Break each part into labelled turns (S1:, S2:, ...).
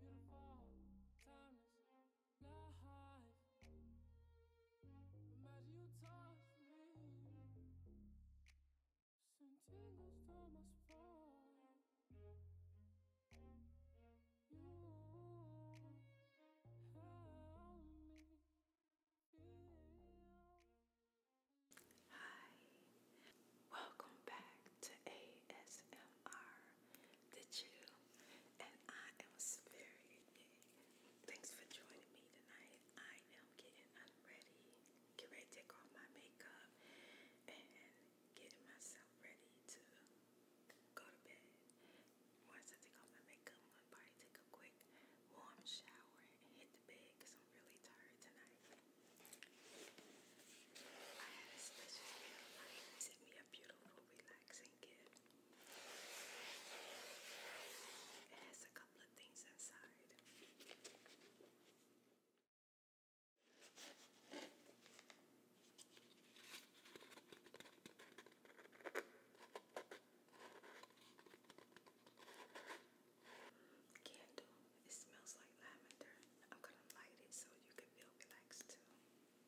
S1: Beautiful, you Hi, welcome back to ASMR did you? And I am very Thanks for joining me tonight. I am getting unready. Get ready take off my makeup and getting myself ready to go to bed. Once I take off my makeup, I'm gonna probably take a quick warm shower and hit the bed because I'm really tired tonight. I had a special gift. me a beautiful, relaxing relaxing It has a couple of things inside. Candle. It smells like lavender. I'm gonna light it so you can feel relaxed too.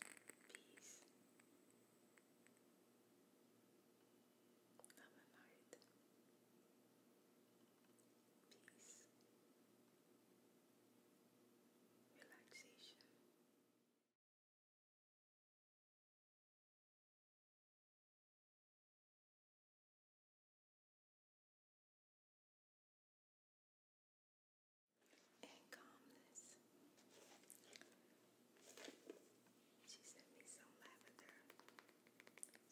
S1: Peace. Have a night. Peace. Relaxation and calmness. She sent me some lavender,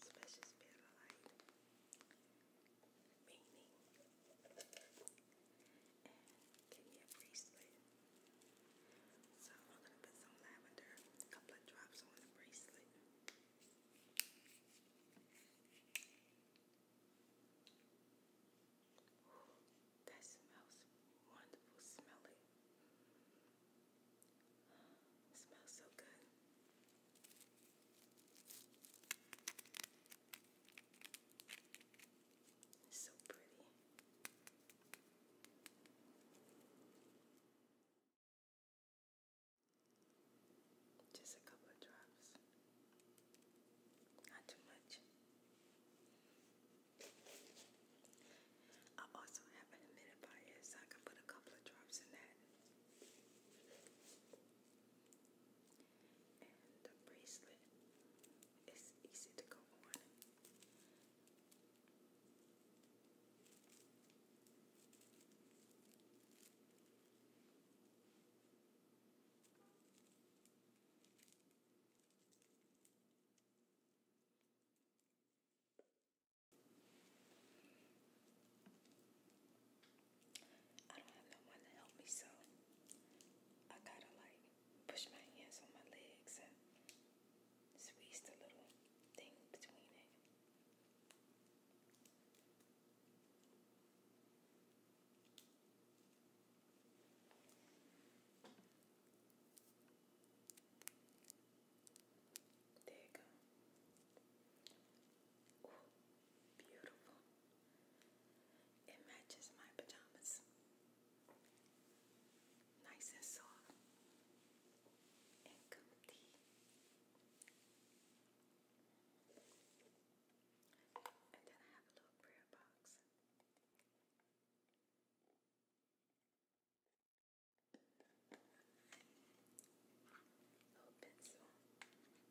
S1: special spirit meaning, and gave me a bracelet. So I'm gonna put some lavender, a couple of drops on the bracelet. That smells wonderful. Smell smells so good. so pretty. Just a couple of drops. Not too much. I also have an humidifier, so I can put a couple of drops in that. And the bracelet is easy to go on. I don't have no one to help me, so I gotta like push my hands on my legs and squeeze the little thing between it. There you go. Ooh, beautiful. It matches my pajamas. Nice and soft and comfy. And then I have a little prayer box. Little pencil and paper.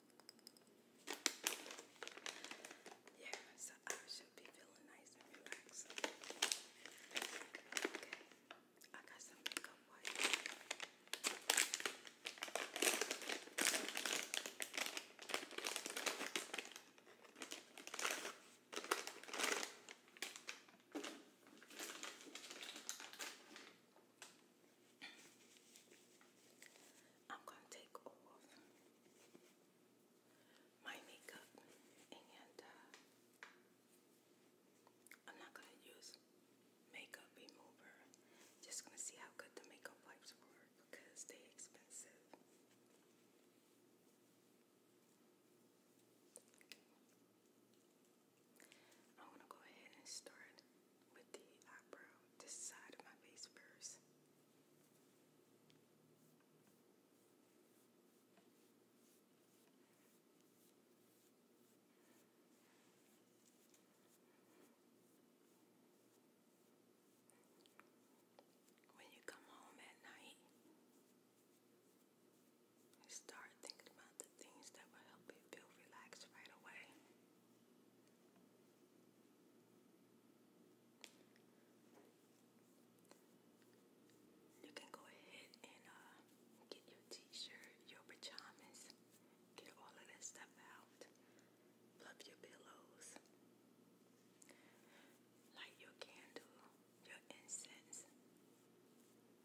S1: Yeah, so I should be feeling nice and relaxed. Okay, I got some makeup wipes. I'm going to take off my makeup and uh, I'm not going to use makeup remover. Just going to see how good the makeup wipes were because they're expensive. I'm going to go ahead and start with the eyebrow, this side of my face first. When you come home at night, start thinking about the things that will help you feel relaxed right away. You can go ahead and uh, get your t-shirt, your pajamas, get all of that stuff out, fluff your pillows, light your candle, your incense,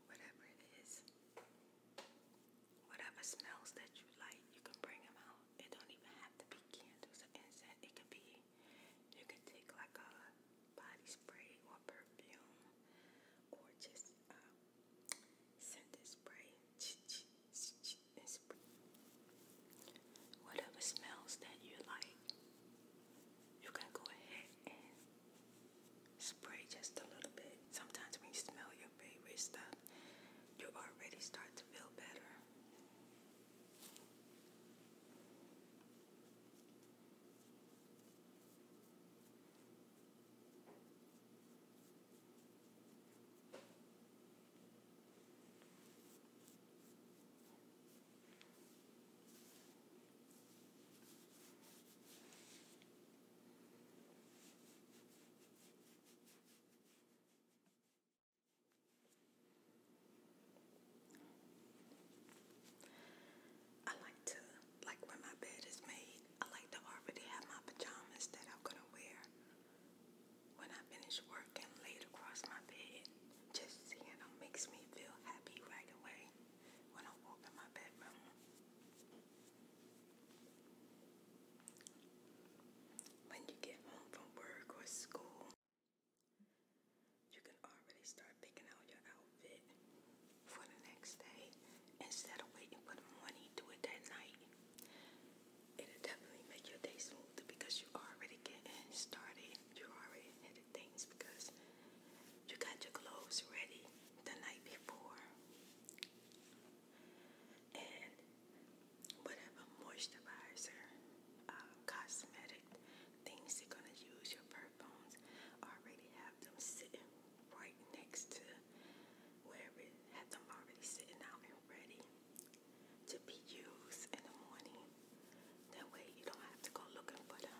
S1: whatever it is, whatever smells that you like, you can bring them out it don't even have to be candles or incense. It could be you could take like a body spray or perfume or just uh, um, scented spray whatever smells that you like. You can go ahead and spray just a little bit. Sometimes when you smell your your favorite stuff, you already start to feel better. I like to, like when my bed is made, I like to already have my pajamas that I'm gonna wear when I finish work and laid across my bed. Just seeing them makes me feel happy right away when I walk in my bedroom. When you get home from work or school, you can already start picking out your outfit for the next day instead of waiting for the morning, do it that night. It'll definitely make your day smoother because you already getting started. You're already headed things because you got your clothes ready the night before. And whatever moisturizer, uh, cosmetic things you're gonna use, your perfumes already have them sitting right next to wherever have them already sitting out and ready to be used in the morning. That way you don't have to go looking for them.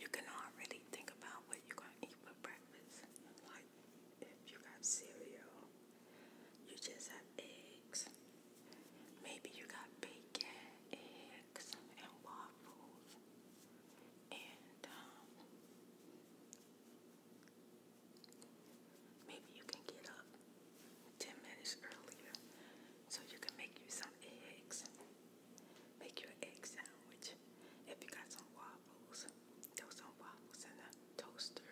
S1: You can really think about what you're going to eat for breakfast. Like if you got cereal, you just have eggs. Maybe you got bacon, egg, cornflakes and waffles and um, maybe you can get up 10 minutes earlier so you can make you some eggs. Make your egg sandwich. If you got some waffles, throw some waffles in the toaster.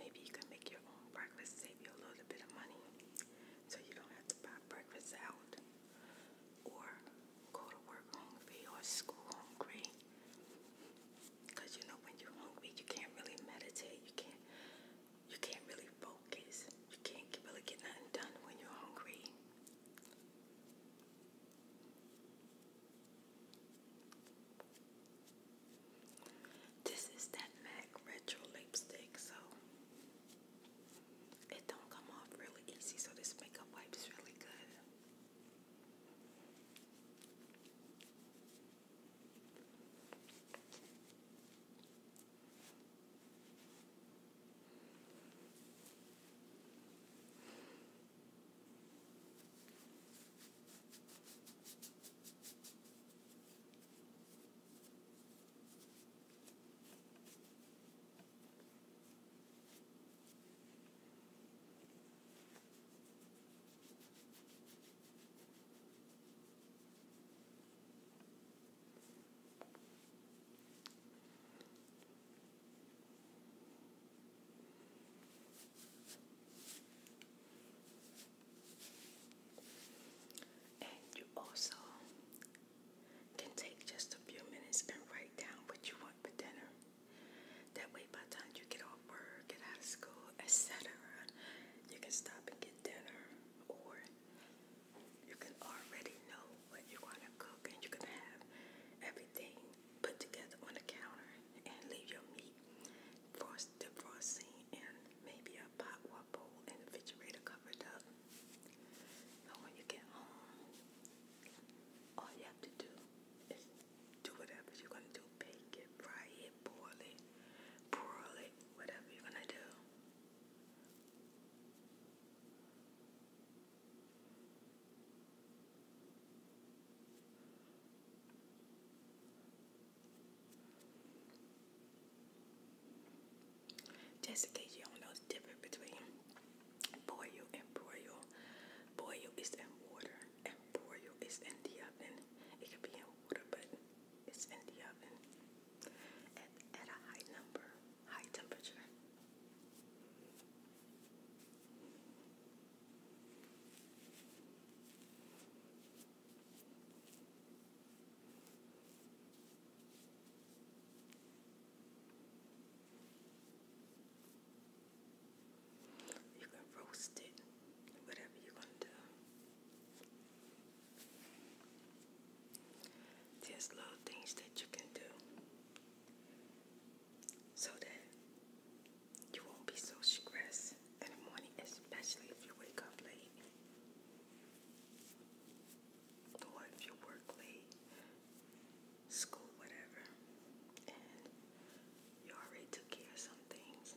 S1: Maybe you can make your own breakfast, save you a little bit of money so you don't have to buy breakfast out or go to work hungry or school hungry. Cause you know when you're hungry, you can't really meditate. You can't, you can't really focus. You can't really get nothing done when you're hungry. This is that MAC Retro Lipstick, so it don't come off really easy, so this makeup wipe is really good. And you also can take just a few minutes and write down what you want for dinner. That way, by the time you get off work, get out of school, etc., you can stop and get dinner, or you can already know what you want to cook, and you can have everything put together on the counter and leave your meat frost defrosting in maybe a pot or and refrigerator covered up. So when you get home, all you have to do is do whatever you're gonna do. Bake it, fry it, boil it, broil it, whatever you're gonna do. Just in case you don't know the difference between boil and broil. Boil is in water and broil is in the oven. It could be in water, but it's in the oven at, at a high number, high temperature. You can roast it, whatever you going to do. There's little things that you can do so that you won't be so stressed in the morning, especially if you wake up late or if you work late, school, whatever, and you already took care of some things.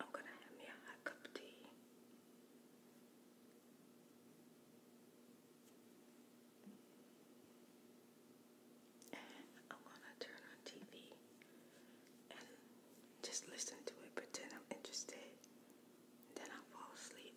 S1: I'm going to have me a cup of tea. And I'm going to turn on TV and just listen to it, pretend I'm interested. Then I'll fall asleep.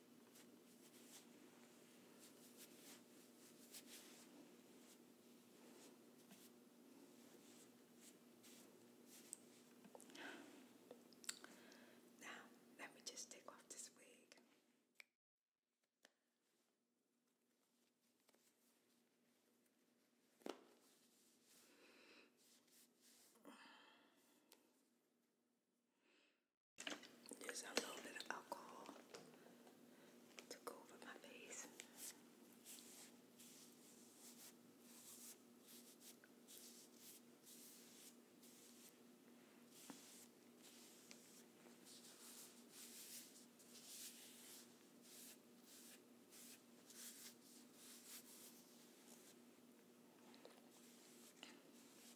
S1: Now, let me just take off this wig. There's a little bit of alcohol to go over my face.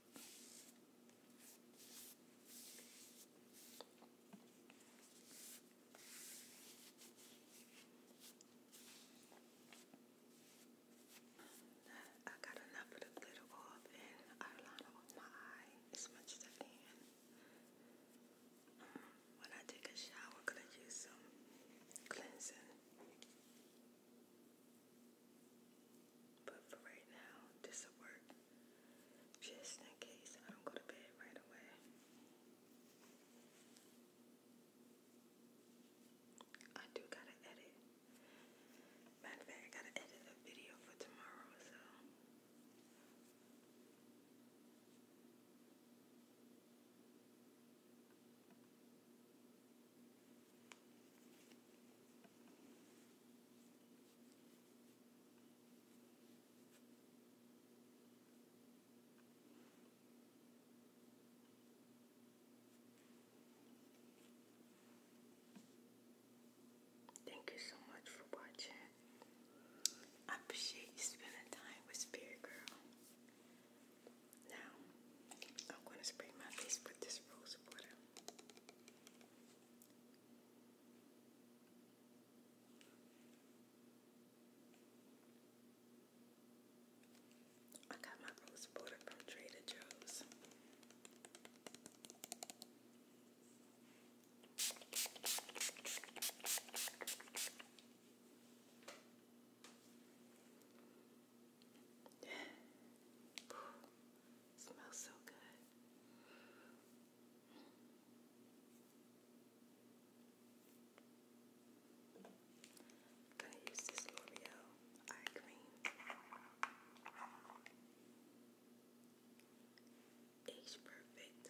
S1: I got enough of the glitter off and eyeliner off my eye as much as I can. Um, when I take a shower, could I use some cleansing? But for right now, this'll work just in case I don't go to bed right away. I do gotta edit. Matter of fact, I gotta edit a video for tomorrow, so. Thank you so much for watching. appreciate you spending time with Spirit Girl. Now, I'm going to spray my face with this rose water. I got my rose water from Trader Joe's. Smells so good. I use this L'Oreal eye cream. Age perfect.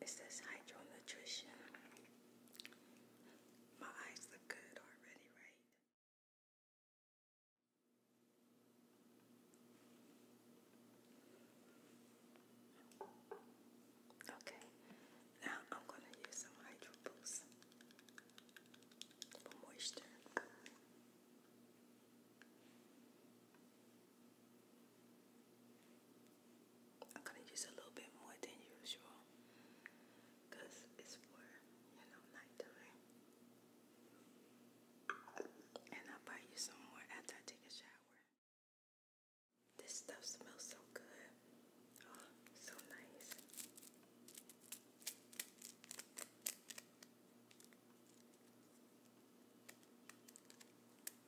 S1: It says hydro nutrition. My eyes look good already, right? Okay, now I'm going to use some Hydro Boost for moisture. I'm gonna use a little bit more than usual because it's for you know nighttime. And I'll buy you some more after I take a shower. This stuff smells so good. Oh, so nice.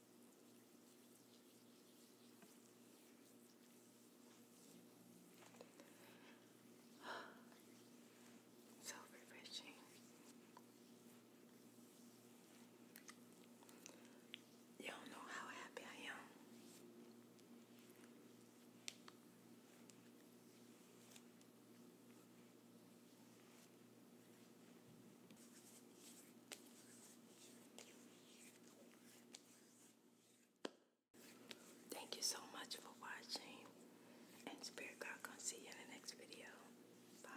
S1: So refreshing. Y'all know how happy I am. Thank you so much for watching. And Spirit God gonna see you in the next video. Bye.